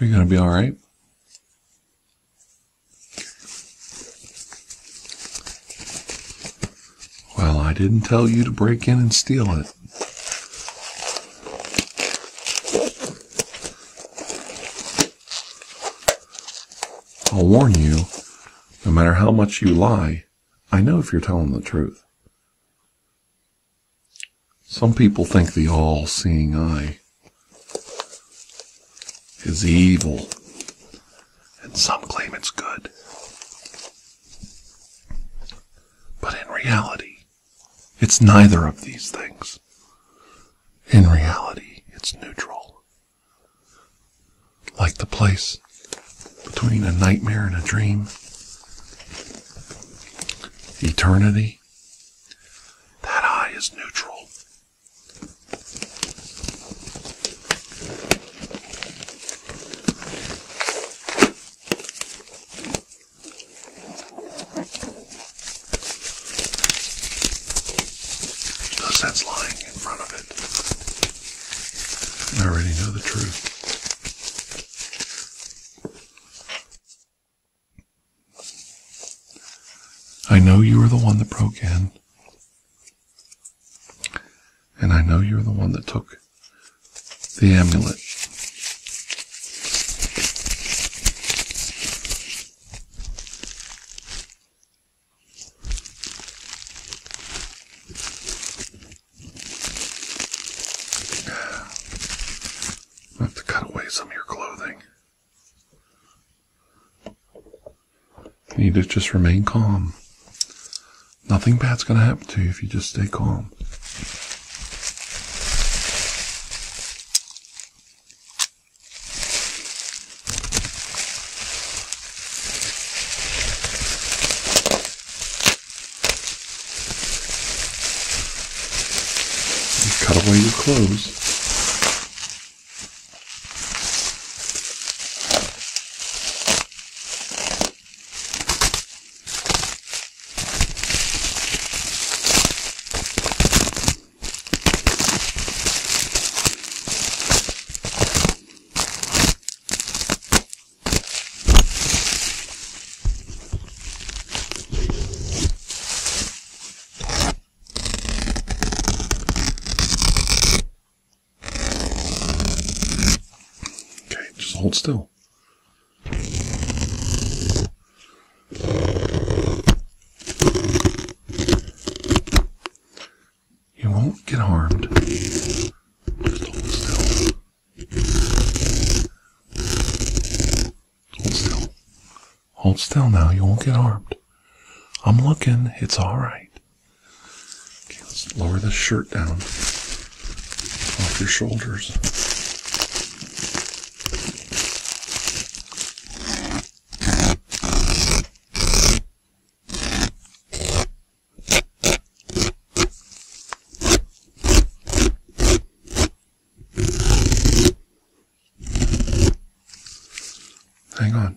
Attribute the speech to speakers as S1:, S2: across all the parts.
S1: Are you going to be all right? Well, I didn't tell you to break in and steal it. I'll warn you, no matter how much you lie, I know if you're telling the truth. Some people think the all seeing eye is evil, and some claim it's good. But in reality, it's neither of these things. In reality, it's neutral. Like the place between a nightmare and a dream, eternity, that eye is neutral. No sense lying in front of it. I already know the truth. I know you were the one that broke in. And I know you're the one that took the amulet I have to cut away some of your clothing. You need to just remain calm. Nothing bad's going to happen to you if you just stay calm cut away your clothes. Okay, just hold still. You won't get harmed. Just hold still. Hold still. Hold still now. You won't get harmed. I'm looking. It's all right. Okay, let's lower this shirt down off your shoulders. Hang on.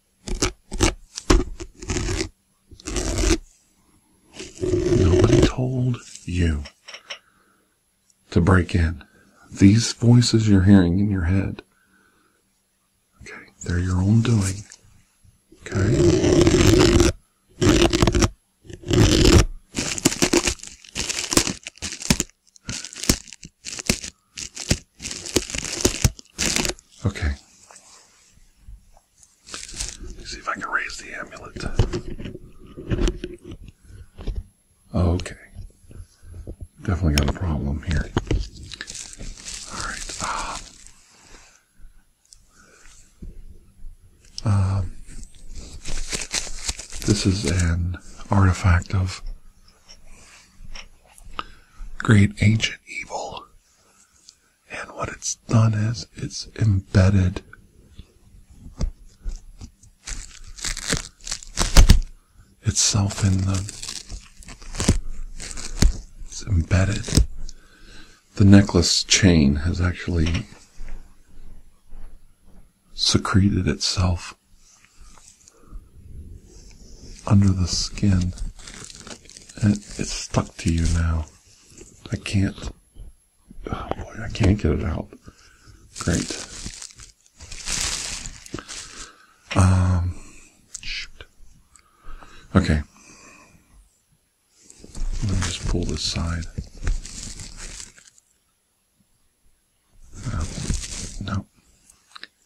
S1: Nobody told you to break in. These voices you're hearing in your head, okay, they're your own doing. Okay? Okay. Let's see if I can raise the amulet. Okay. Definitely got a problem here. Alright. um, um this is an artifact of great ancient evil. And what it's done is it's embedded itself in the. It's embedded. The necklace chain has actually secreted itself under the skin. And it's stuck to you now. I can't. Oh boy, I can't get it out. Great. Um, shoot. Okay. Let me just pull this side. Oh, no.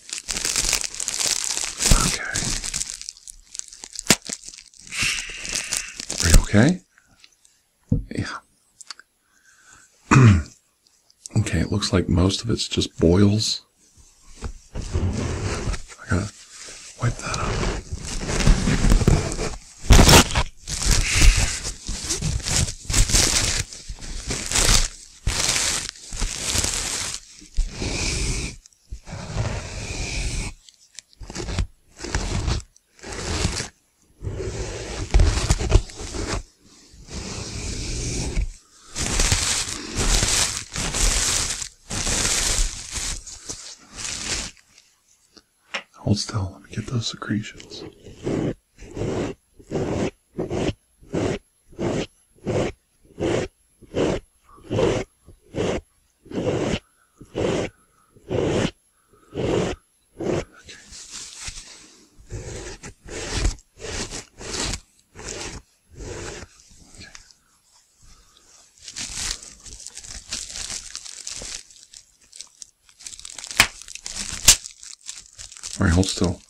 S1: Okay. Are you okay? Yeah. okay, it looks like most of it's just boils. I gotta wipe that up. Hold still, let me get those secretions. All right, hold still.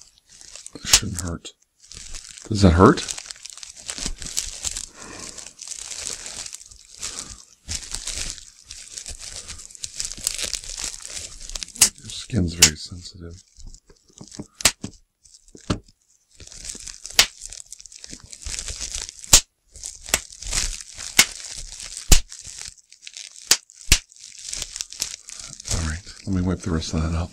S1: This shouldn't hurt. Does that hurt? Your skin's very sensitive. All right, let me wipe the rest of that up.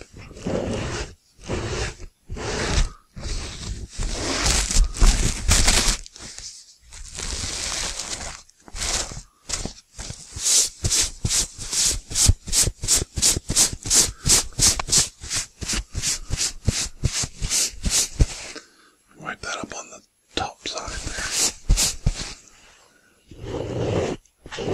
S1: Wipe that up on the top side there. Don't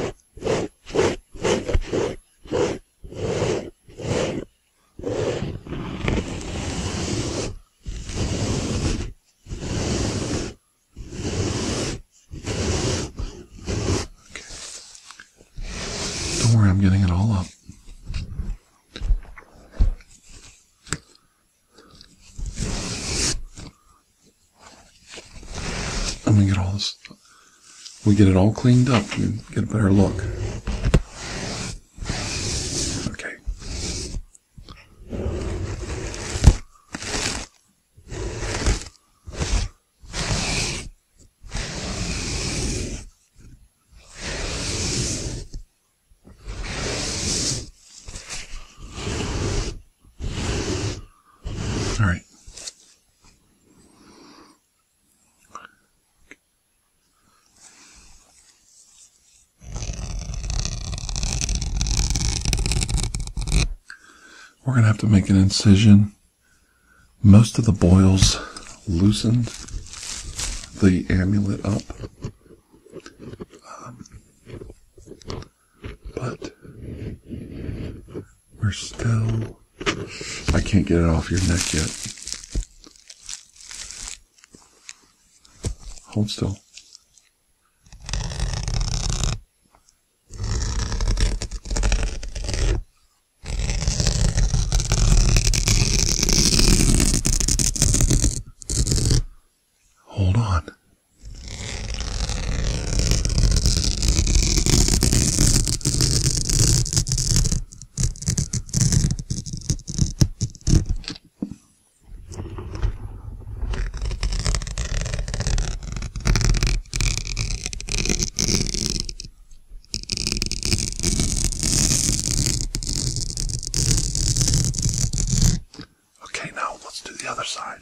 S1: worry, I'm getting it all up. And we get all this, we get it all cleaned up We get a better look. Okay. All right. We're going to have to make an incision. Most of the boils loosened the amulet up. Um, but we're still. I can't get it off your neck yet. Hold still. Hold on. Okay, now let's do the other side.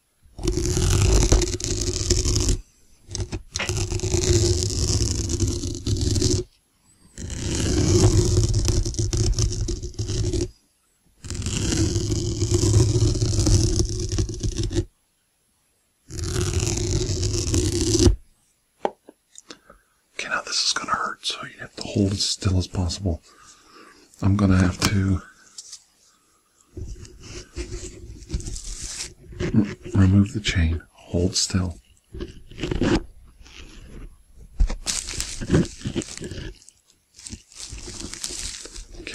S1: Okay, now this is going to hurt, so you have to hold as still as possible. I'm going to have to Mm, remove the chain. Hold still. Okay,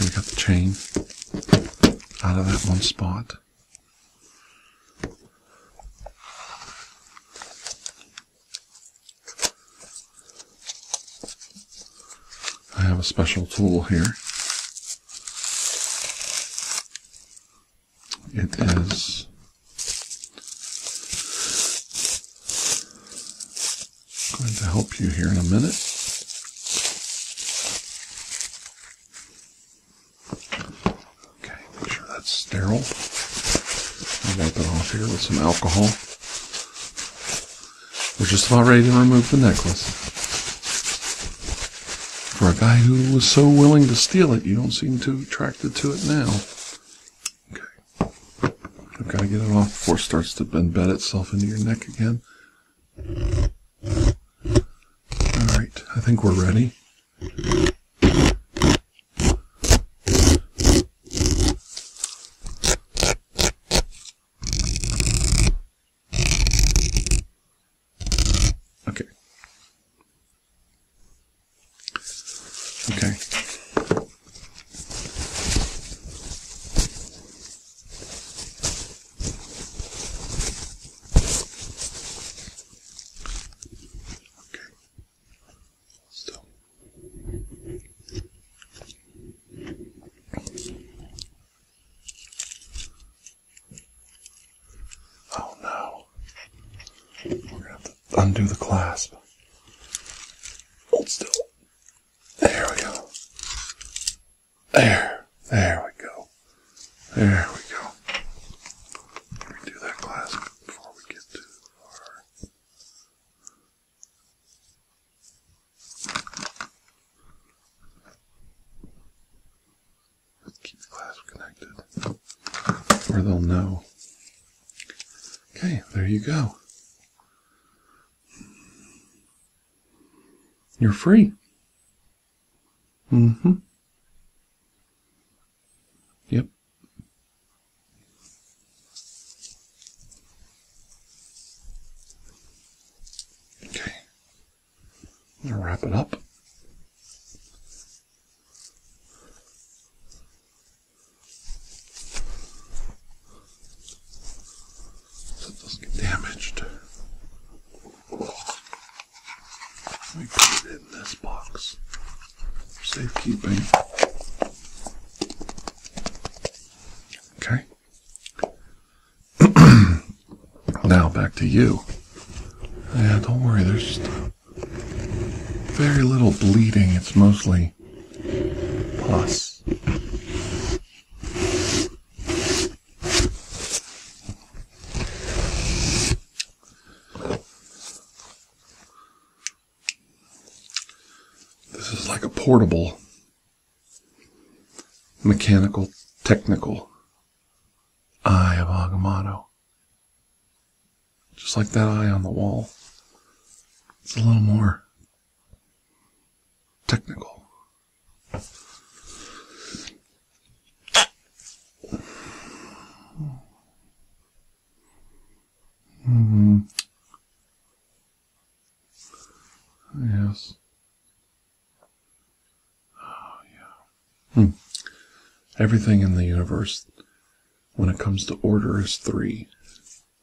S1: we got the chain out of that one spot. I have a special tool here it is going to help you here in a minute. Okay, make sure that's sterile. I'll wipe that off here with some alcohol. We're just about ready to remove the necklace. For a guy who was so willing to steal it, you don't seem too attracted to it now. Okay. I've got to get it off before it starts to embed itself into your neck again. Alright, I think we're ready. Okay. Okay. Okay. Still. Oh no. We're going to undo the clasp. Hold still. There we go. There. There we go. There we go. Let that clasp before we get too far. Keep the glass connected, or they'll know. Okay, there you go. You're free. Mm hmm. Yep. Okay. I'm going to wrap it up. So it doesn't get damaged. We put it in this box for safekeeping. Okay. now back to you. Yeah, don't worry, there's very little bleeding. It's mostly pus. This is like a portable mechanical, technical eye of Agamotto. Just like that eye on the wall. It's a little more technical. Mm. Yes. Oh, hmm. Everything in the universe, when it comes to order, is three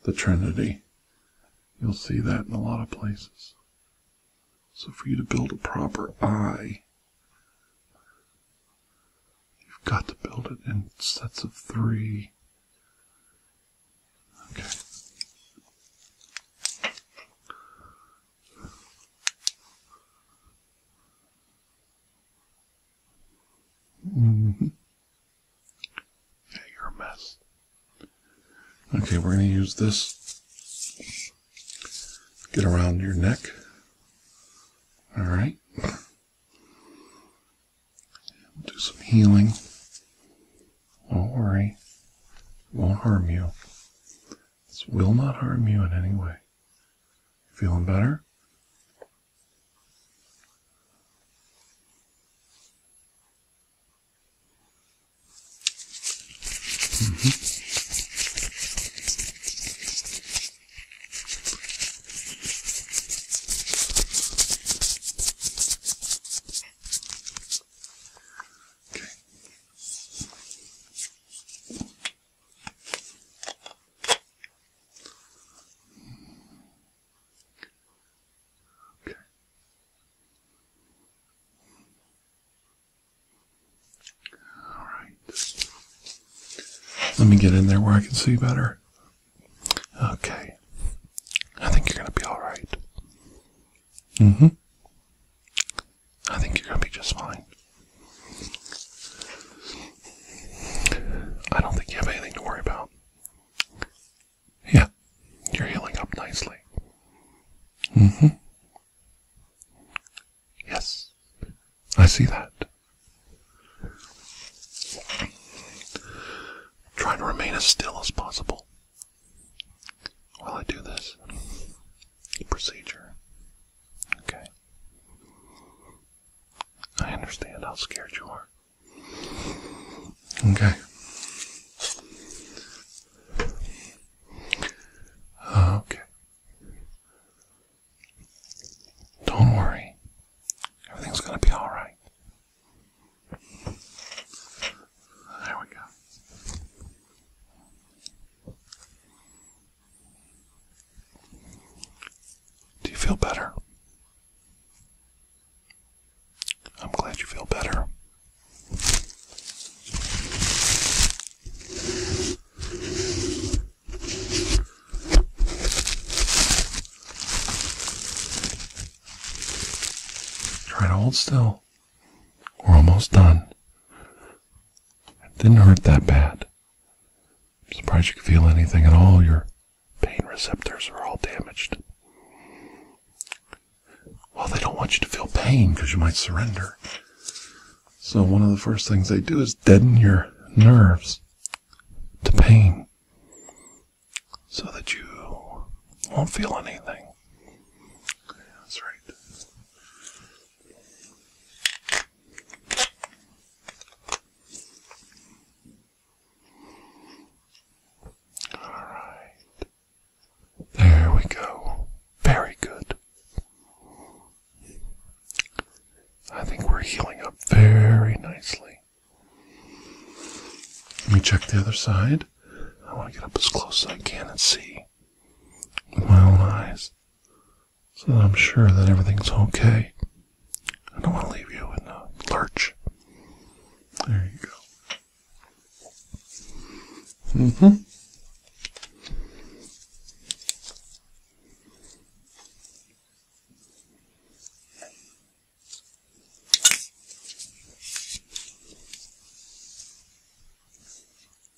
S1: the Trinity. You'll see that in a lot of places. So, for you to build a proper eye, you've got to build it in sets of three. Okay. Yeah, mm-hmm. you're a mess. Okay, we're going to use this. Get around your neck. All right. We'll do some healing. Don't worry. won't harm you. This will not harm you in any way. Feeling better? Mm-hmm. Okay. Okay. All right. Let me get in there where I can see better. Okay. I think you're going to be all right. Mm-hmm. I think you're gonna be just fine. I don't think you have anything to worry about. Yeah, you're healing up nicely. Mm-hmm. Yes, I see that. Try to remain as still as possible. Will I do this? Procedure. Okay. I understand how scared you are. Okay. Okay. Don't worry. Everything's going to be alright. There we go. Do you feel better? I'm glad you feel better. Try to hold still. We're almost done. It didn't hurt that bad. I'm surprised you can feel anything at all. Your pain receptors are all damaged. Well, they don't want you to feel pain because you might surrender. So, one of the first things they do is deaden your nerves to pain so that you won't feel anything that's right. All right. There we go. Very good. I think we're healing up very nicely. Let me check the other side. I want to get up as close as I can and see with my own eyes so that I'm sure that everything's okay. I don't want to leave you in a lurch. There you go. Mm-hmm.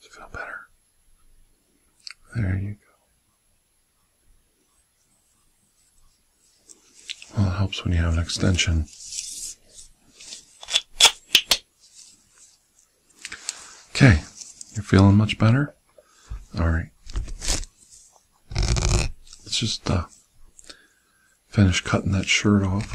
S1: Does feel better? There you go. Well, it helps when you have an extension. Okay, you're feeling much better? Alright. Let's just uh, finish cutting that shirt off.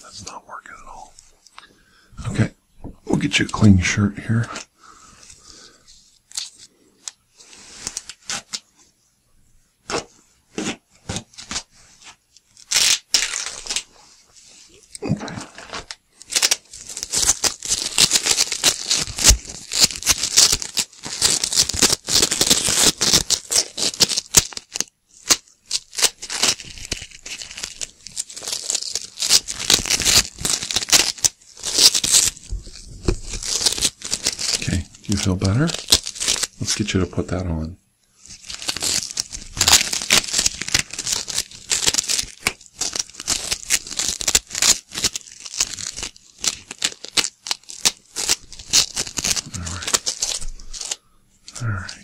S1: That's not working at all. Okay, we'll get you a clean shirt here. Okay, do you feel better? Let's get you to put that on them. All right. All right.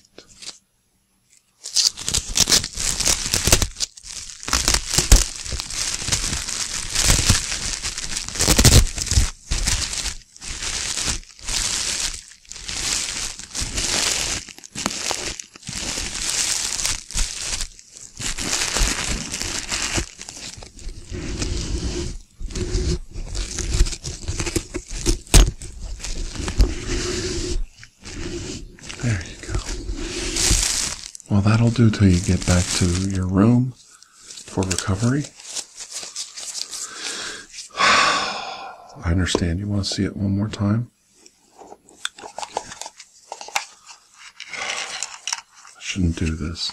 S1: There you go. Well, that'll do till you get back to your room for recovery. I understand. You want to see it one more time? I shouldn't do this.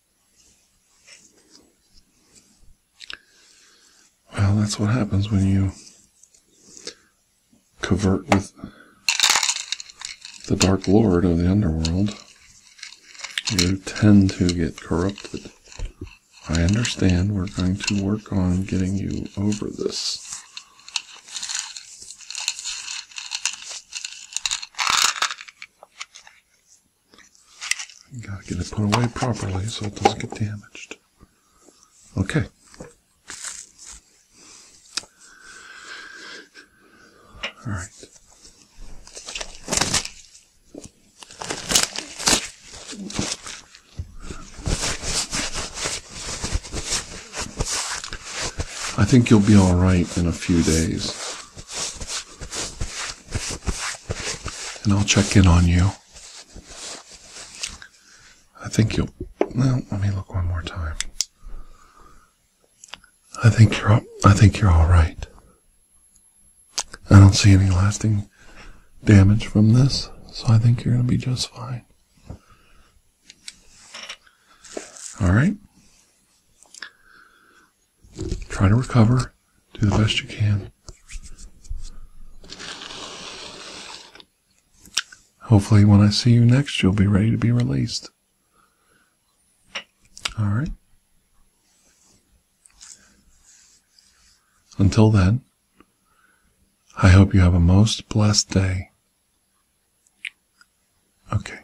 S1: Well, that's what happens when you covert with the Dark Lord of the underworld. You tend to get corrupted. I understand we're going to work on getting you over this. You gotta get it put away properly so it doesn't get damaged. Okay. All right. I think you'll be all right in a few days. And I'll check in on you. I think you'll. Well, let me look one more time. I think you're. I think you're all right. I don't see any lasting damage from this, so I think you're going to be just fine. All right. Try to recover. Do the best you can. Hopefully, when I see you next, you'll be ready to be released. All right. Until then, I hope you have a most blessed day. Okay.